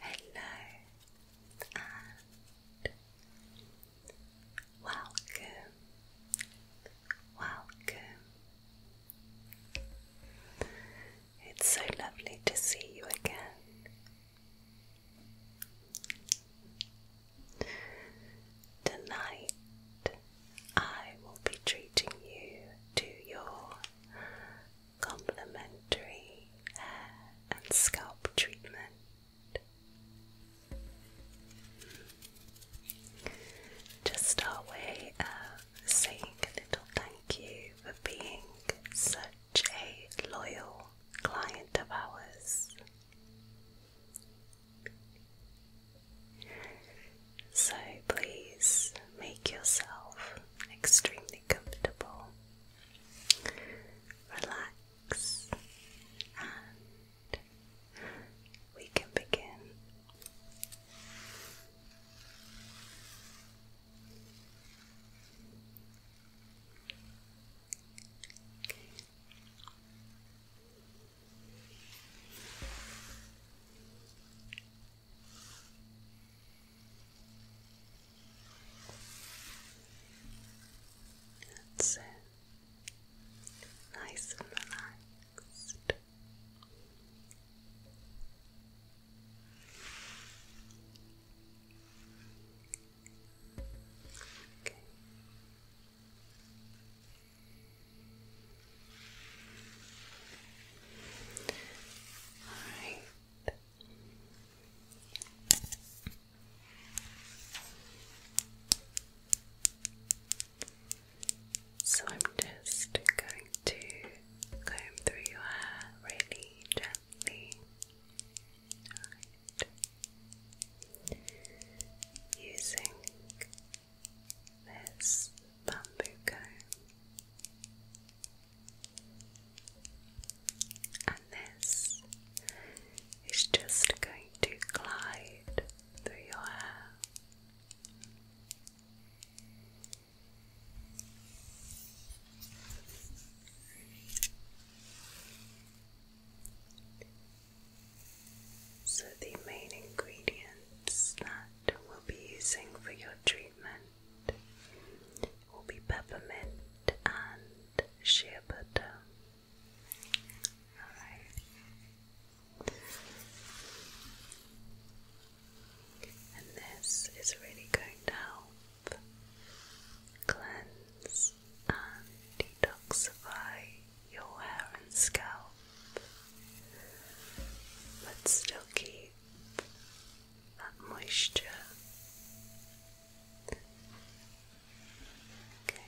Hello and welcome, welcome. It's so lovely to see you again. Tonight I will be treating you to your Complementary hair and scalp treatment. Just our way of saying a little thank you for being such a loyal client of ours. So please make yourself extremely comfortable relax, and we can begin. That's it. Nice and relaxed. Okay. All right. So I'm just going to comb through your hair really gently. Using this bamboo comb and this is just going to glide through your hair. So, the main ingredients that we'll be using for your treatment will be peppermint and shea butter. Alright. And this is really going to help cleanse and detoxify your hair and scalp, but still keep that moisture. Okay. Right.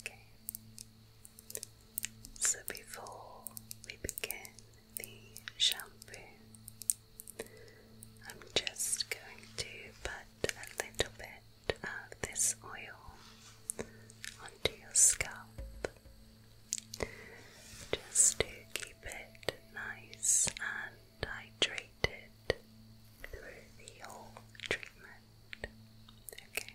Okay. So before we begin the shampoo, I'm just going to put a little bit of this oil onto your scalp just to keep it nice and hydrated through the whole treatment. Okay.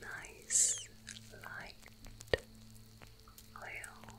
nice light oil.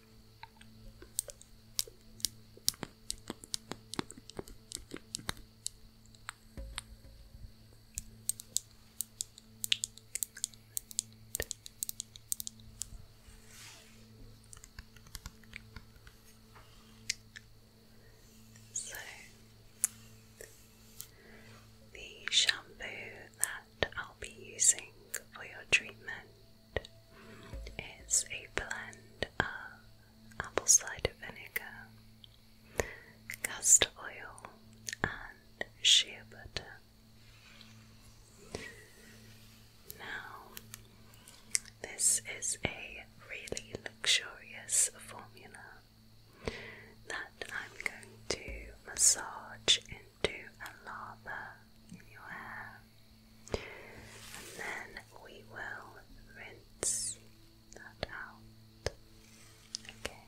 So the shampoo that I'll be using for your treatment is a blend of apple cider vinegar, castor oil, and shea butter. Now, this is a really luxurious formula that I'm going to massage into a lather in your hair, and then we will rinse that out. Okay.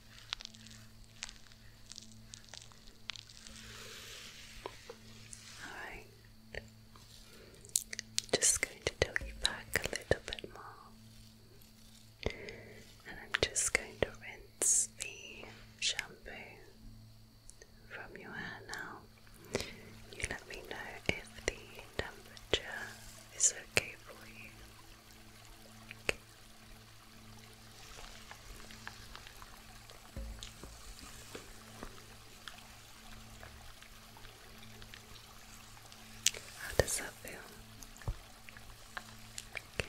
Alright. Just going to take you back a little bit more. And I'm just going to rinse the shampoo from your hair now. You let me know if the temperature is okay for you. How does that feel? Okay,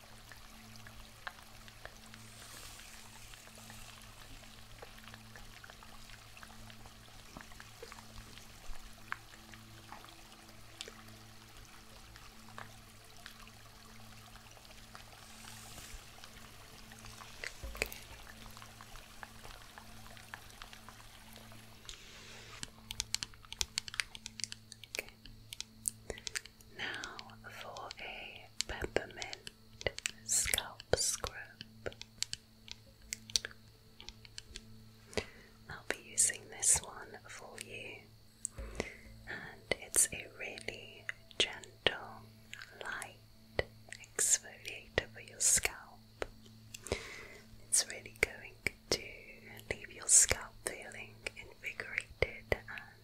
Okay. Now for a peppermint scalp scrub. I'll be using this one for you, and it's a really gentle, light exfoliator for your scalp. It's really going to leave your scalp feeling invigorated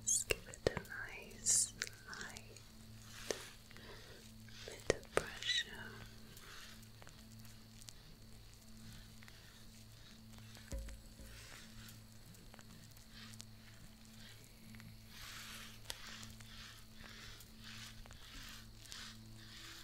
Let's give it a nice light bit pressure.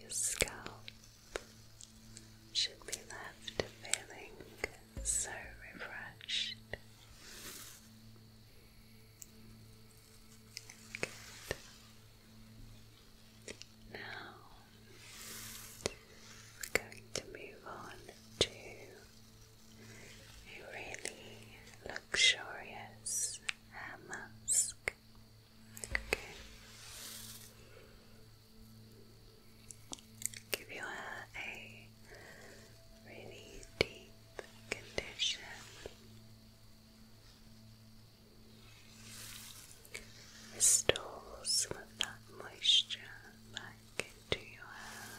Your scalp should be left feeling so refreshed. Now we're going to move on to a really luxurious hair mask. Okay give your hair a really deep condition. Restore some of that moisture back into your hair.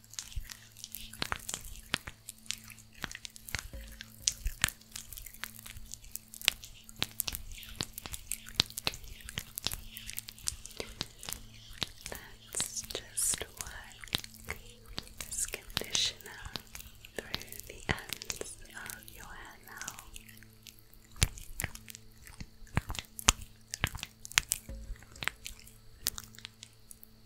Let's just work conditioner through the ends of your hair now.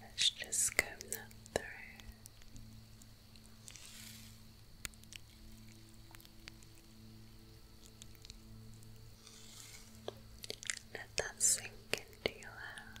Let's just go through. Let that sink into your hair.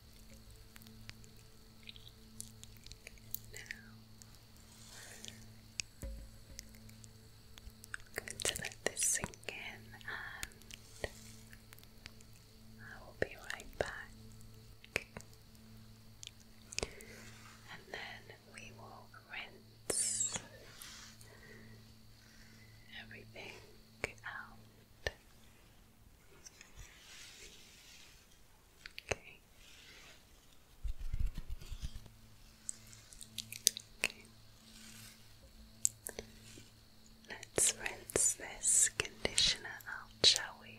Now, I'm going to let this sink in and I will be right back. And then we will rinse everything out. Let's rinse this conditioner out, shall we?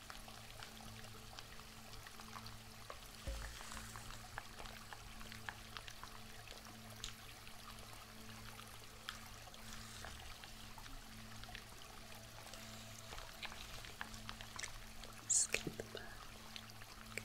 Skip back. Okay.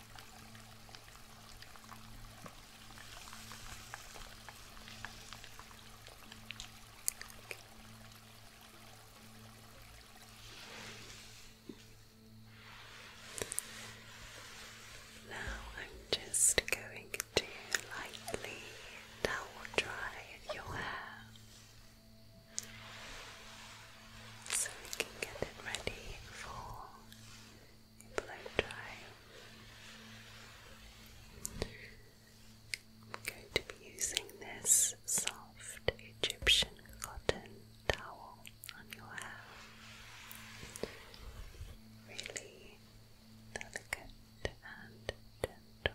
Now I'm just going to lightly towel dry your hair so we can get it ready for blow dry. I'm going to be using this soft Egyptian cotton towel on your hair. Really delicate and gentle.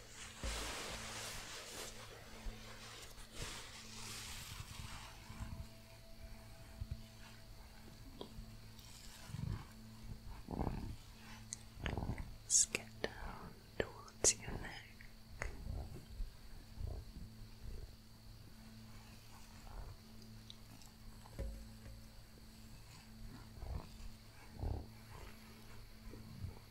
Let's get down towards your neck.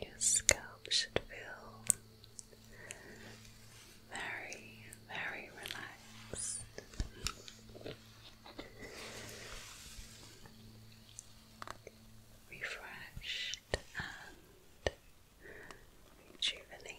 Your scalp should feel very, very relaxed. Refreshed and rejuvenated.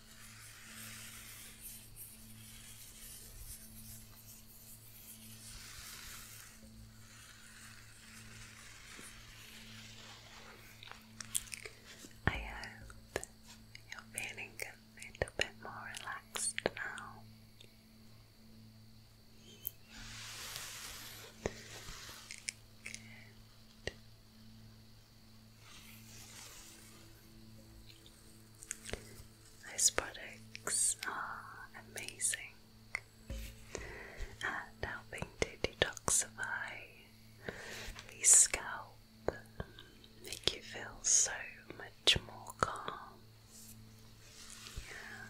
I hope you're feeling a little bit more relaxed now. Those products are amazing at helping to detoxify the scalp, make you feel so much more calm. Yeah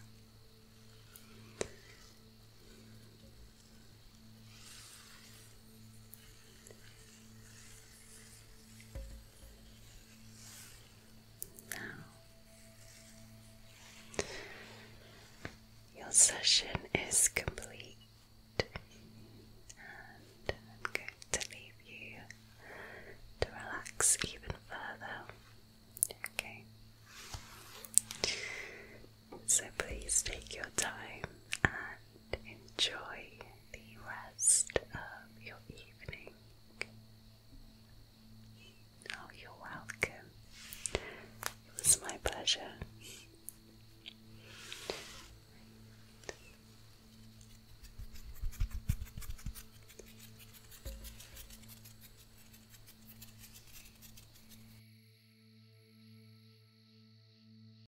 your session is complete, and I'm going to leave you to relax even further. Okay. So please take your time and enjoy the rest of your evening. Oh, you're welcome. It was my pleasure.